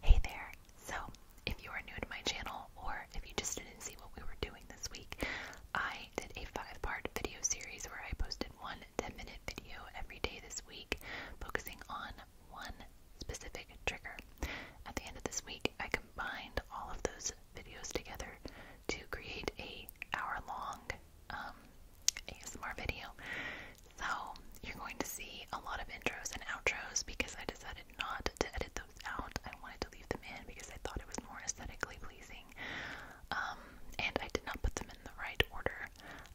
Hey there! So, if you are new to my channel or if you just didn't see what we were doing this week, I did a five part video series where I posted one 10 minute video every day this week focusing on one specific trigger. At the end of this week, I combined all of those videos together to create a hour long um, ASMR video. So, you're going to see a lot of intros and outros because I decided not to edit those out. I wanted to leave them in because I thought it was more aesthetically pleasing. Um, and I did not put them in the right order.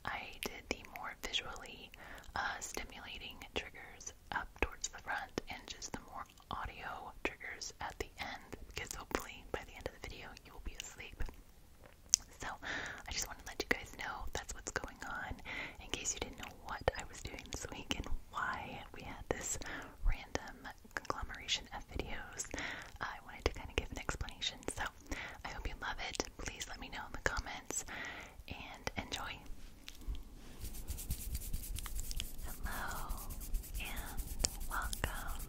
I did the more visually uh, stimulating triggers up towards the front and just the more audio triggers at the end because hopefully by the end of the video you will be asleep. So, I just want to let you guys know that's what's going on in case you didn't know what I was doing this week and why we had this random conglomeration of videos. I wanted to kind of give an explanation, so I hope you love it. Please let me know in the comments and enjoy. Hello and welcome.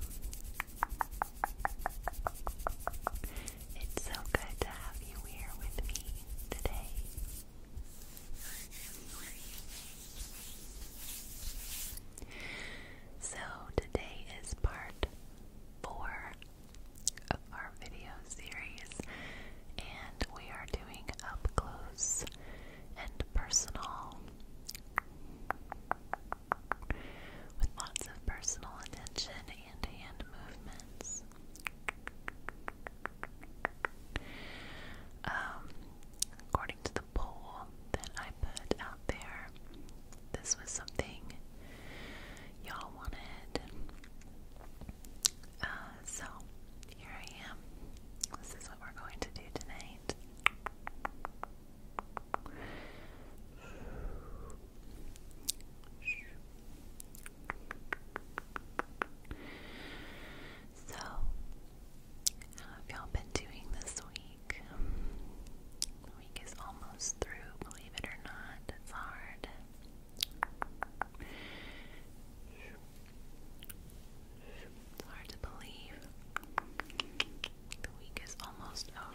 It's so good to have you here with me today. So, today is part four of our video series, and we are doing up close and personal with lots of personal attention and hand movements. Um, according to the poll that I put out there, this was something y'all wanted. Uh, so here I am. This is what we're going to do tonight. So, how have y'all been doing this week? The week is almost through, believe it or not. It's hard. It's hard to believe. The week is almost over.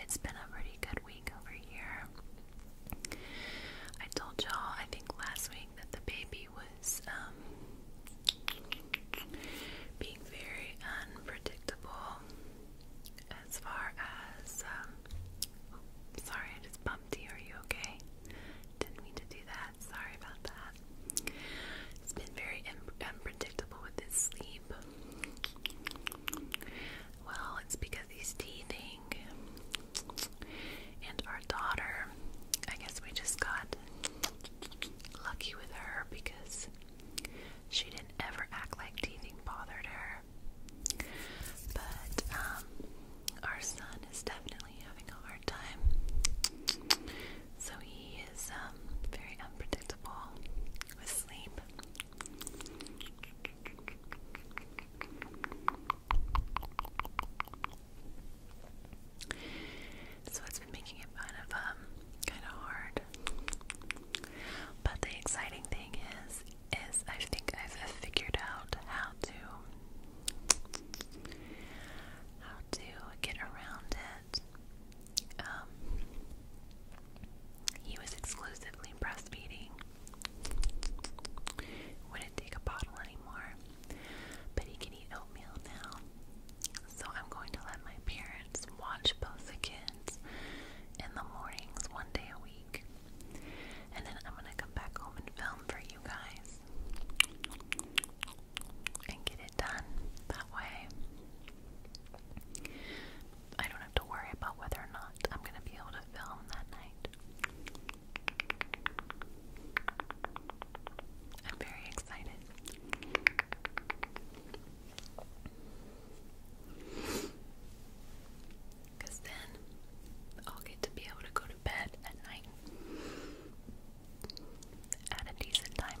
It's been a pretty good week over here. I told y'all, I think last week saying that the baby was um, being very unpredictable as far as. Um, oh, sorry, I just bumped you. Are you okay? Didn't mean to do that. Sorry about that. It's been very un unpredictable with his sleep. Well, it's because he's teething. And our daughter, I guess we just got lucky with her because she didn't ever act like teething bothered her. But um, our son is definitely having a hard time. So he is um, very unpredictable with sleep. So it's been making it kind of um kind of hard. But the exciting thing is is I think I've figured out how to how to get around it. Um, he was exclusively breastfeeding. Wouldn't take a bottle anymore. But he can eat oatmeal now. So I'm going to let my parents watch both the kids in the mornings one day a week. And then I'm going to come back home and film for you guys and get it done that way. I don't have to worry about whether or not I'm going to be able to film that night. I'm very excited. Because then I'll get to be able to go to bed at night at a decent time.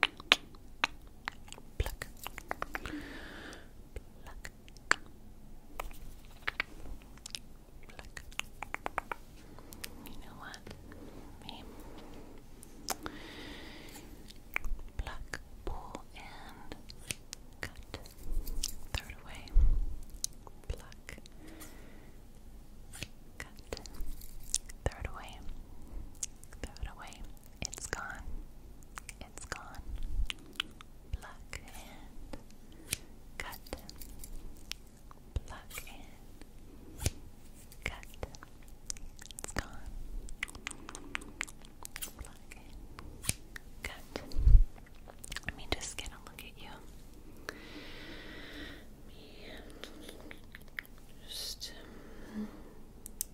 Pluck. Pluck. Pluck. Pluck. You know what? Me. Pluck, pull, and cut. Throw it away. Pluck. Cut. Throw it away. Throw it away. It's gone. It's gone. cut. cut. It's gone. cut. Let me just get a look at you. Just um,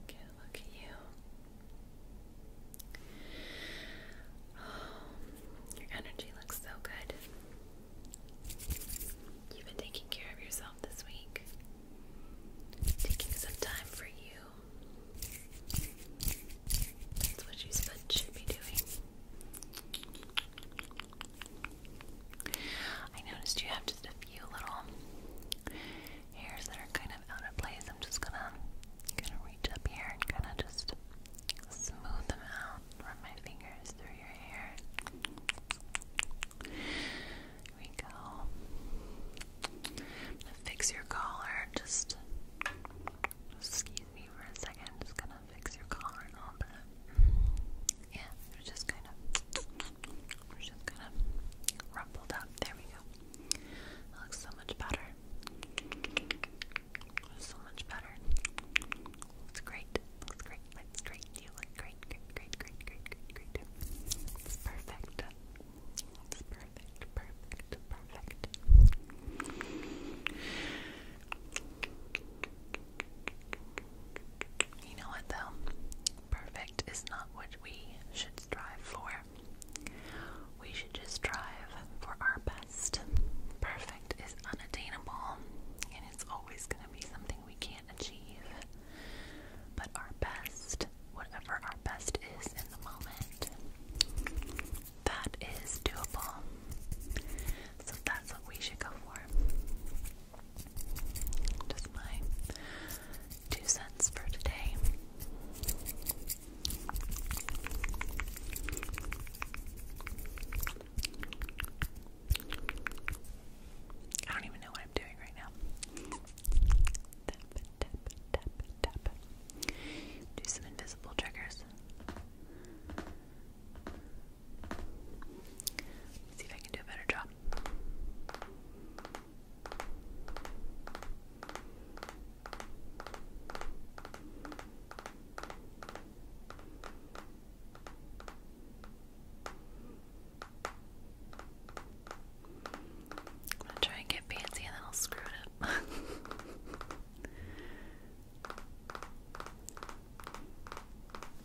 get a look at you. Oh, your energy looks so good. You've been taking care of yourself this week, taking some time for you. That's what you should be doing. I noticed you have just a few little hairs that are kind of out of place. I'm just gonna kind of reach up here and kind of just smooth them out. Run my fingers through your hair. Here we go. gonna fix your collar. Just, excuse me for a 2nd just gonna fix your collar a little bit. Yeah, we're just kind of, we're just kind of rumpled up. There we go. That looks so much better. So much better. Looks great. Looks great. Looks great. You look great. Great. Great. Great. Great. Great. Great. It's perfect. It's perfect. Perfect. Perfect. Perfect. You know what though? Perfect is not what we should strive for. We should just strive for our best. Perfect is unattainable, and it's always going to be something we can't achieve. But our best, whatever our best is in the moment, that is doable. So that's what we should go for. Just my two cents for today. I don't even know what I'm doing right now. Tap, tap, tap, tap. Do some invisible triggers. see if I can do a better job. I'm gonna try and get fancy and then I'll screw it up.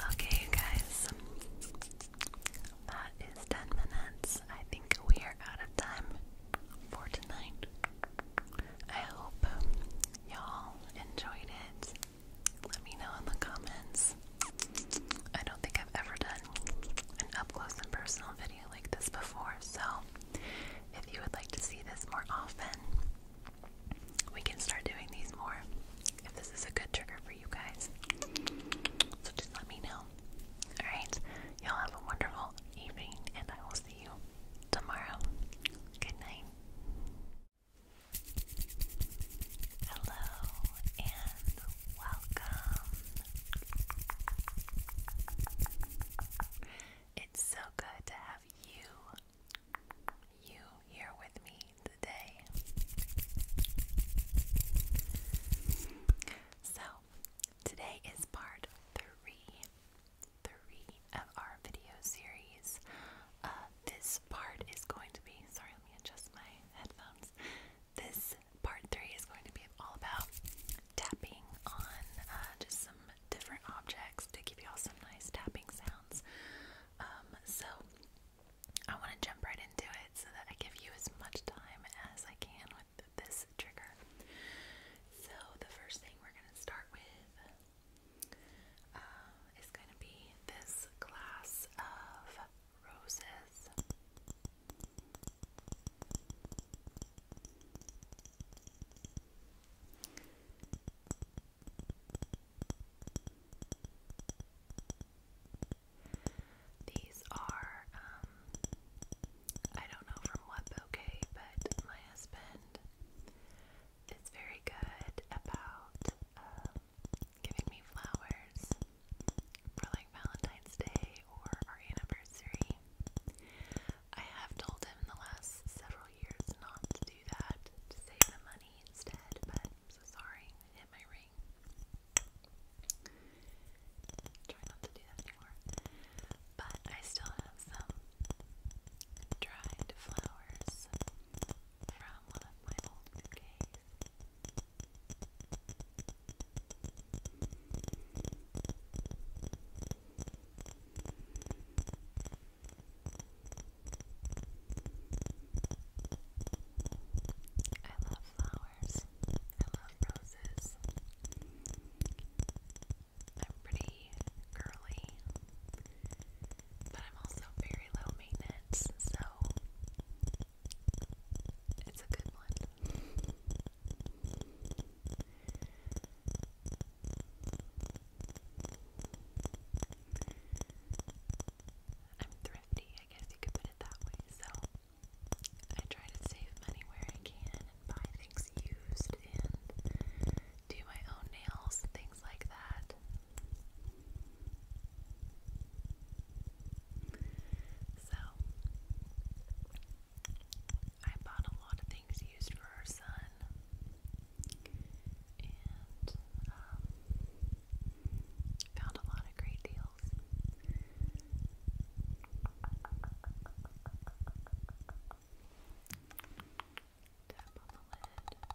Okay, you guys, that is 10 minutes. I think we are out of time for tonight. I hope y'all enjoyed it. Let me know in the comments. I don't think I've ever done an up close and personal video like this before, so if you would like to see this more often, we can start doing these more if this is a good trigger for you guys. So just let me know. Alright, y'all have a wonderful evening, and I will see you tomorrow. Good night. Hello and welcome. It's so good to have you you here with me today. So, today is part 3 three of our video series. Uh, this part is going to be, sorry, let me adjust my headphones. This part three is going to be all about tapping on uh, just some different objects to give you all some nice tapping sounds. Um, so I want to jump right into it so that I give you as much time as I can with this trigger. So the first thing we're going to start with uh, going to be this glass of roses. These are, um, I don't know from what bouquet, but my husband it's very good about um, giving me flowers for like Valentine's Day or our anniversary. I have told him the last several years not to do that, to save the money instead, but sorry, hit my ring. Try not to do that anymore. But I still have some dried flowers from one of my old bouquets. I love flowers. I love roses. I'm pretty girly. But I'm also very low maintenance, so it's a good one. I'm thrifty, I guess you could put it that way, so I try to save money where I can and buy things used and do my own nails, things like that. So, I bought a lot of things used for our son, and um, found a lot of great deals. Tap on the lid. Okay.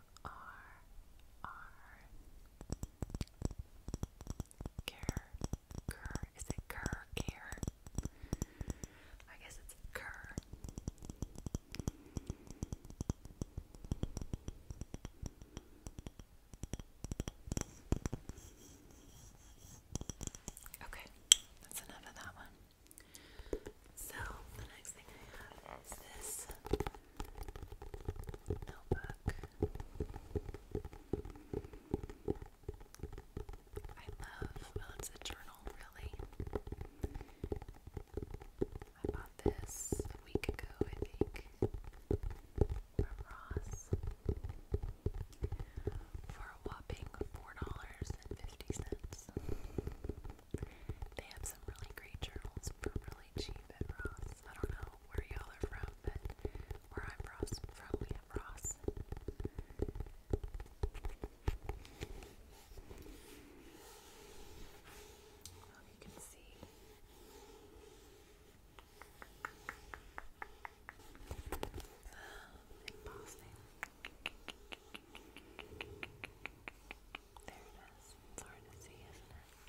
R R Care Cur is it Cur Care? I guess it's Cur. Okay, that's enough that one. So the next thing I have is this notebook. I love, well, it's a journal, really. I bought this a week ago, I think, from Ross for a whopping $4.50. They have some really great journals for really cheap at Ross. I don't know where y'all are from, but where I'm from, we have Ross. Well, you can see. There it is. It's hard to see, isn't it?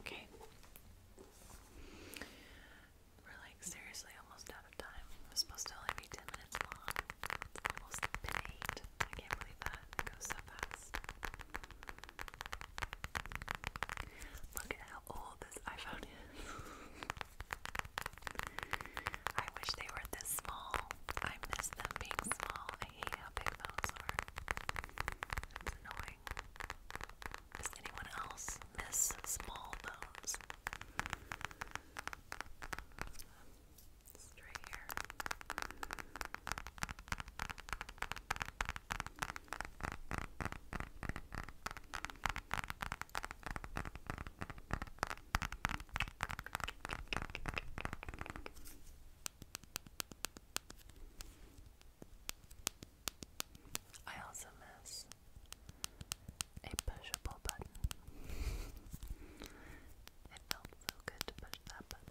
Okay. We're like seriously almost out of time. It was supposed to only be 10 minutes long. It's almost been 8. I can't believe that. It goes so fast. Look at how old this iPhone is. I wish they were this small. I miss them being small. I hate how big those are. annoying. Does anyone else miss small bones? Straight here. I also miss a pushable button. it felt so good to push that button.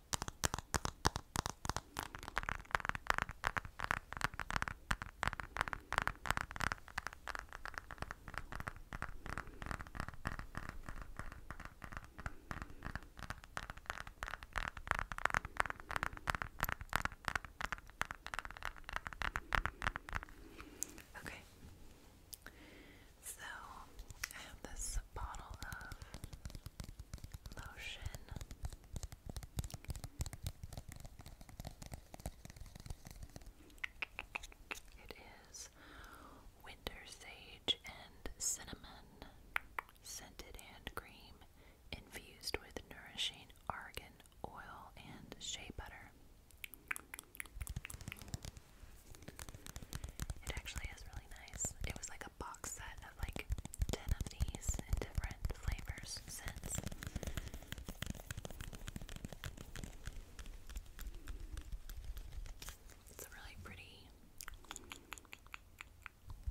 Okay. So, I have this bottle of motion. It is winter sage and cinnamon scented hand cream infused with nourishing argan oil and shea butter. It actually is really nice. It was like a box set of like 10 of these in different flavors scents. It's a really pretty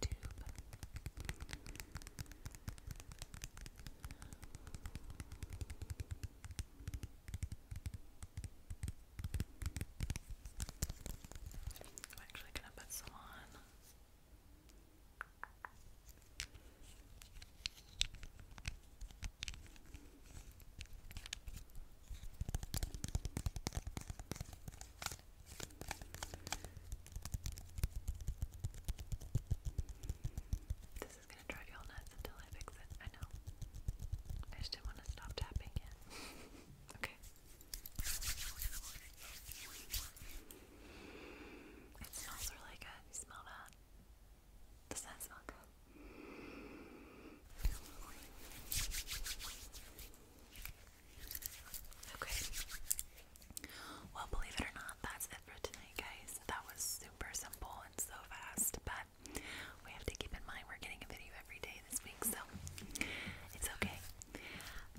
tube. I'm actually gonna put some on. This is gonna drive you nuts until I fix it. I know. I just didn't want to stop tapping it. okay. It smells really good. You smell that? Does that smell good? Okay. Well, believe it or not, that's it for tonight, guys. That was super simple and so fast, but we have to keep in mind we're getting a video every day day this week, so it's okay.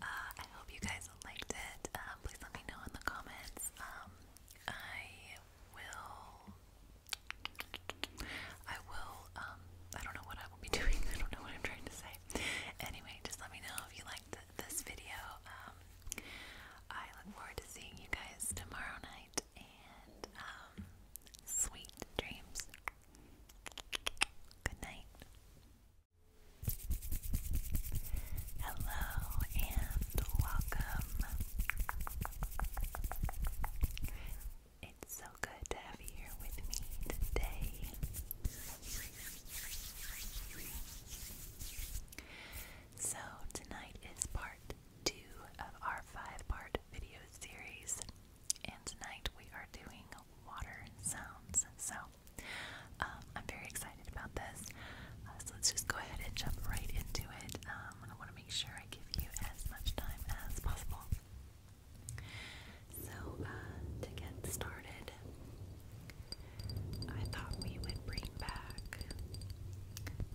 Uh, I hope you guys liked it. Uh, please let me know in the comments. Um, I will. I will. Um, I don't know what I will be doing. I don't know what I'm trying to say. Anyway, just let me know if you liked this video. Um, I look forward to seeing you guys tomorrow night, and um, sweet dreams. Good night. Hello and welcome. It's so good to have you here with me today. So, tonight is part two of our five part video series, and tonight we are doing water sounds. So um, I'm very excited about this. Uh, so let's just go ahead and jump right into it. Um, I want to make sure I give you as much time as possible. So uh, to get started, I thought we would bring back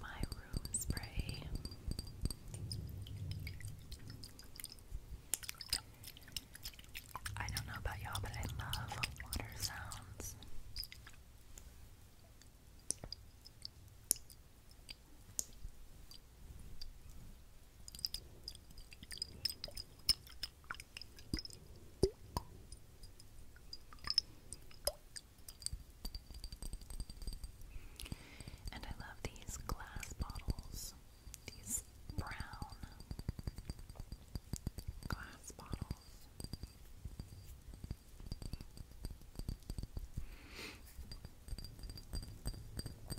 my room spray. I don't know about y'all, but I love water sounds. And I love these glass bottles these brown glass bottles. My throat is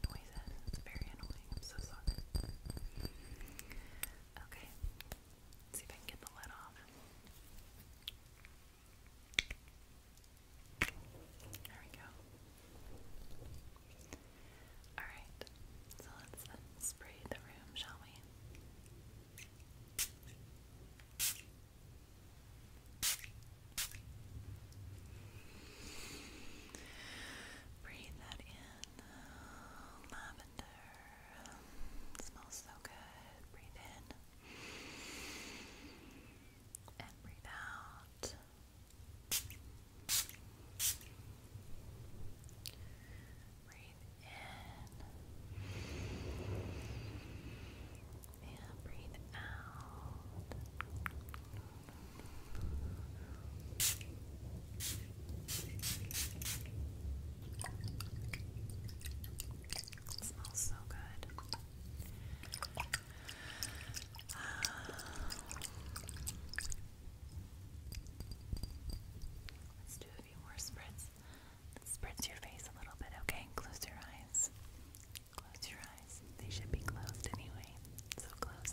making it's very annoying. I'm so sorry. Okay. see if I can get the lid off. There we go. Alright, so let's spray the room, shall we? Breathe that in in lavender. smells so good. Breathe in and breathe out. Breathe in and breathe out. It smells so good. Um, let's do a few more spritz. spritz your face a little bit, okay? Close your eyes. Close your eyes. They should be closed anyway. So close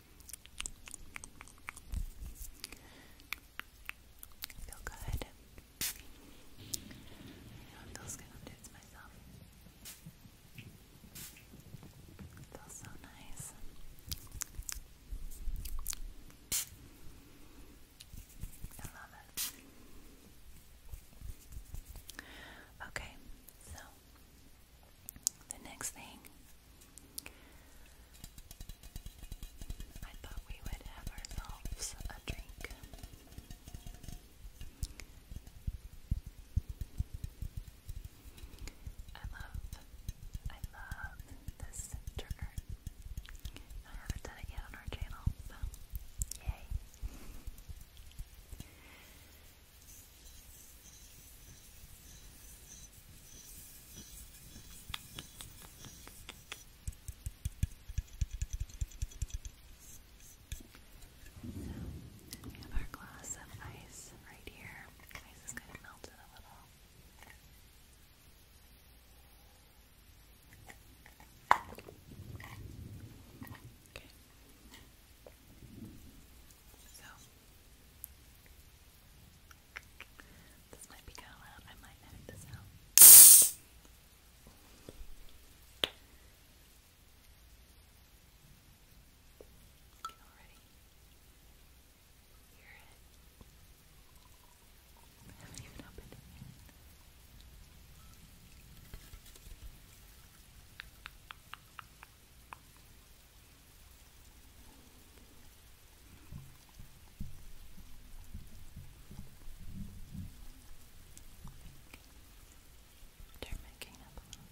Feel good. You good. I'll do it myself. feels so nice. I love it. Okay, so the next thing I thought we would have ourselves a drink. I love, I love this trigger. I haven't done it yet on our channel, so yay. So, we have our glass of ice right here. The ice is kind of melted a little. Okay. So, this might be kind of I might edit this out. You can already hear it. I haven't even opened it yet. They're making up a lot.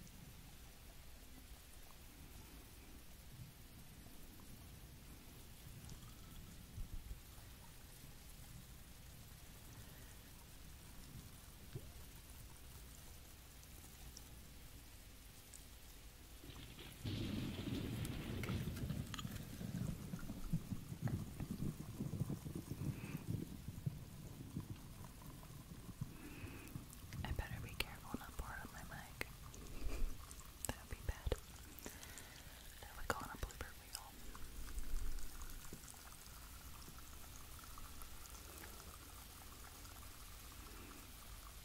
I better be careful not pour on my mic. that would be bad. That would go on a blooper reel.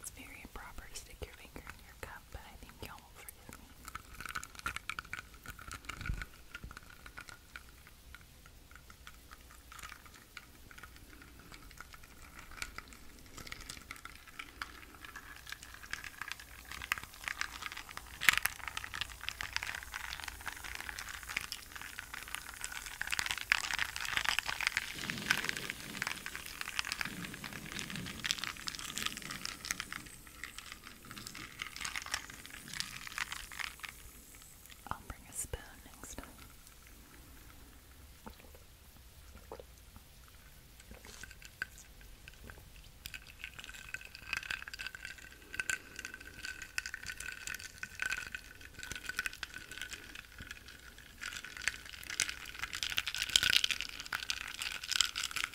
It's very improper to stick your finger in your your but I think y'all will forgive me. I'll bring a spoon next time.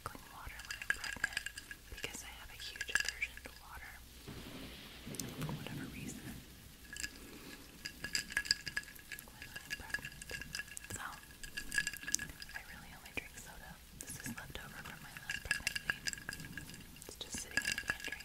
sparkling water when I'm pregnant because I have a huge aversion to water for whatever reason when I'm pregnant. So, I really only drink soda. This is left over from my last pregnancy. It's just sitting in the pantry.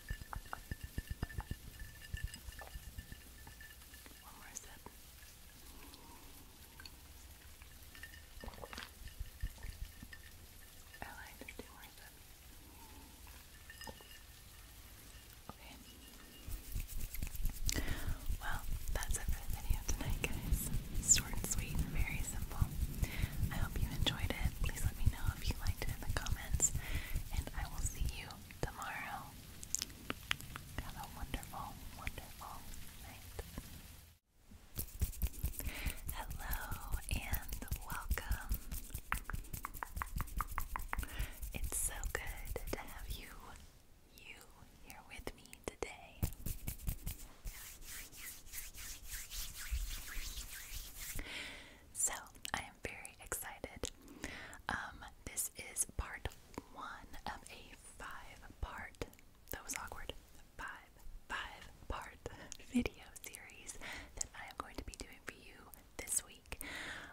One more sip. I like more sips. Okay. Well, that's it for the video tonight, guys. Short and sweet very simple. I hope you enjoyed it. Please let me know if you liked it in the comments. And I will see you tomorrow. Have a wonderful, wonderful night. Hello and welcome. It's so good to have you, you here with me today. So I am very excited. Um, this is part one of a five-part. That was awkward. Five, five-part video series that I am going to be doing for you this week.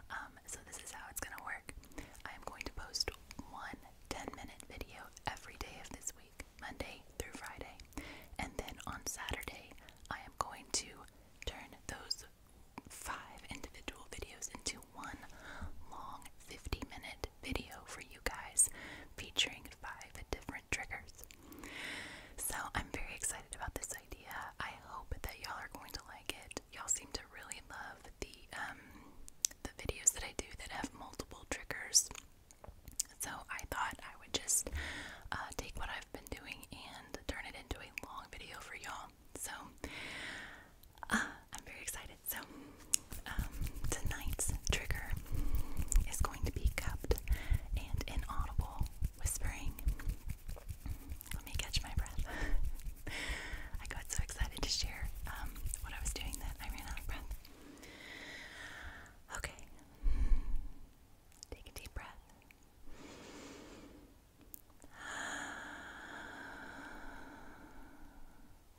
Um, so this is how it's gonna work. I am going to post one minute video every day of this week, Monday through Friday, and then on Saturday I am going to turn those five individual videos into one long 50 minute video for you guys featuring five different triggers. So I'm very excited about this idea. I hope that y'all are going to like it. Y'all seem to really love the um, the videos that I do that have multiple triggers. So I thought I would just uh, take what I've been doing and turn it into a long video for y'all. So uh, I'm very excited. So um, tonight's trigger is going to be cupped and inaudible whispering. Let me catch my breath. I got so excited to share um, what I was doing that I ran out of breath. Okay. Take a deep breath.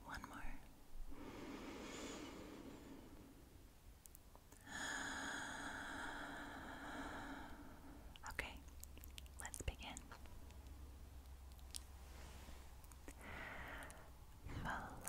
One more. Okay, let's begin. Fluffy,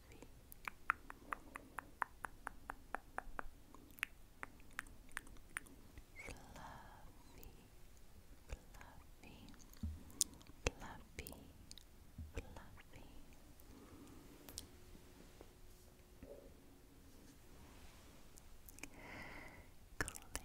fluffy, fluffy. Click. Click. Click.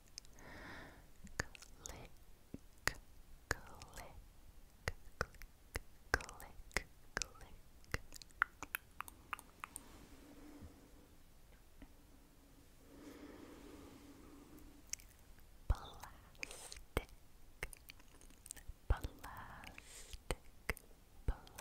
click, click, click, click, click. Plastic, plastic, plastic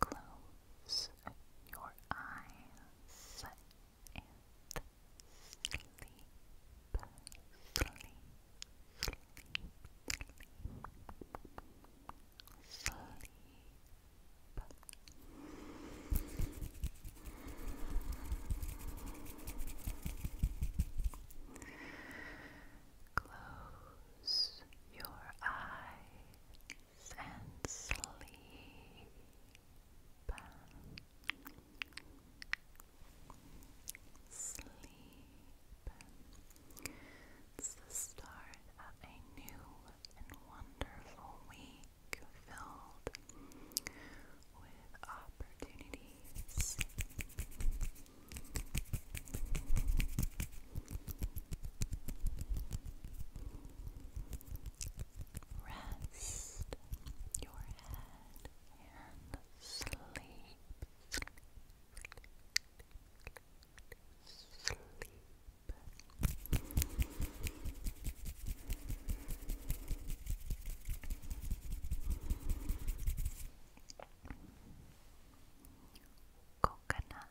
Close your eyes and sleep, sleep, sleep, sleep. sleep. Close your eyes and sleep. Sleep. It's the start of a new and wonderful week filled with opportunities. Rest your head and sleep. Sleep. coconut,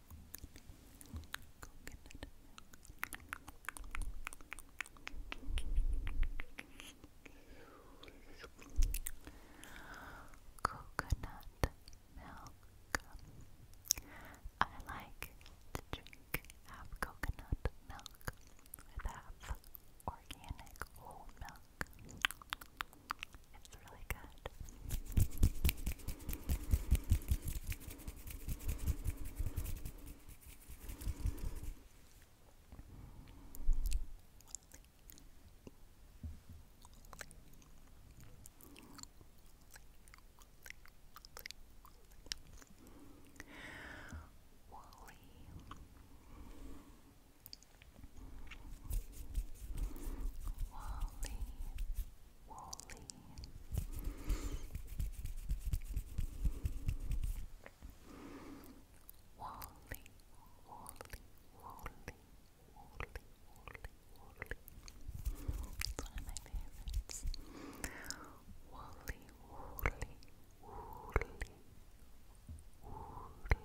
coconut milk I like to drink half coconut milk with half organic whole milk it's really good. Wally. Wally, Wally. Wally, Wally, Wally, Wally, Wally, Wally. It's one of my favorites. Wally, Wally, Wally,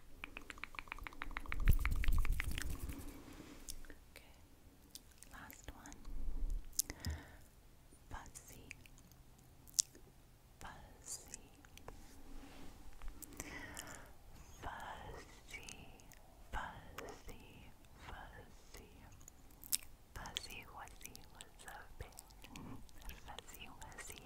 Okay, last one. Fuzzy, fuzzy, fuzzy, fuzzy, fuzzy, fuzzy, wuzzy was Fuzzy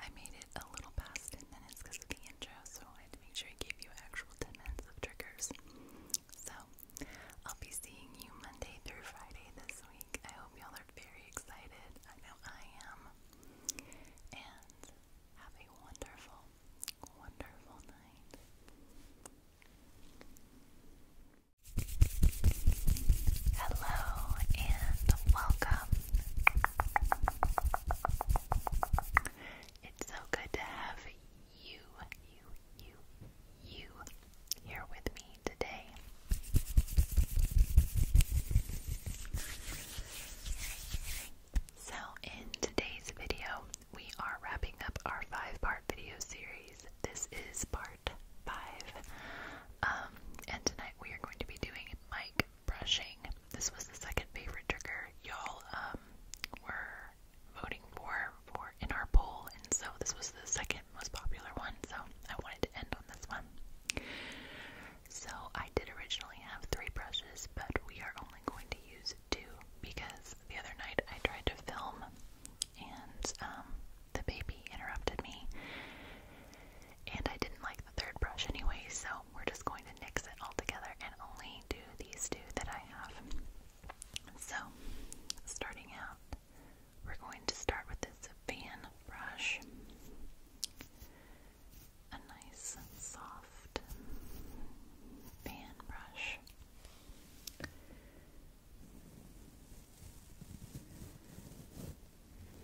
I made it a little past 10 minutes because of the intro, so I had to make sure I gave you actual 10 minutes of triggers. So, I'll be seeing you Monday through Friday this week. I hope y'all are very excited. I know I am. And have a wonderful, wonderful night. Hello and welcome it's so good to have you, you, you, you here with me today. So, in today's video, we are wrapping up our five part video series. This is part five. Um, and tonight we are going to be doing Mike brushing. This was the second favorite trigger y'all um, were voting for for in our poll, and so this was the second most popular one. So I wanted to end on this one. So I did originally have three brushes, but we are only going to use two because the other night I tried to film and um, the baby interrupted me and I didn't like the third brush anyway, so we're just going to mix it all together and only do these two that I have. So, starting out, we're going to start with this fan brush. A nice soft fan brush.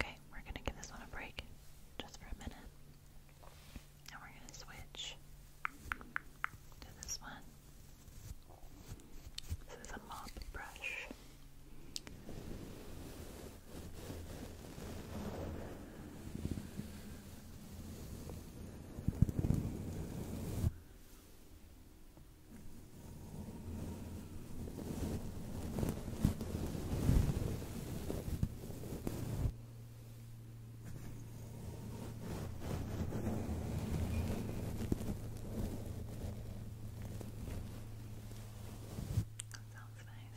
Okay, we're gonna give this one a break just for a minute. And we're gonna switch to this one. This is a mop brush. That sounds nice. Good.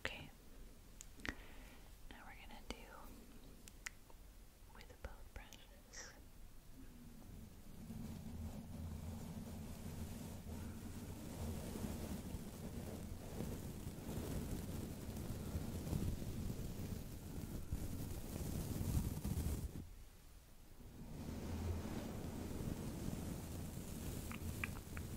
Okay. Now we're going to do with both brushes.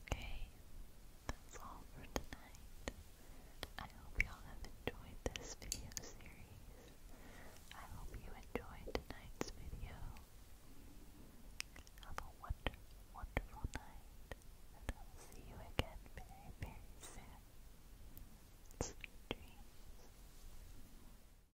Okay, that's all for tonight. I hope y'all have enjoyed this video series. I hope you enjoyed tonight's video. Have a wonderful, wonderful night, and I'll see you again very, very soon. Sweet dreams.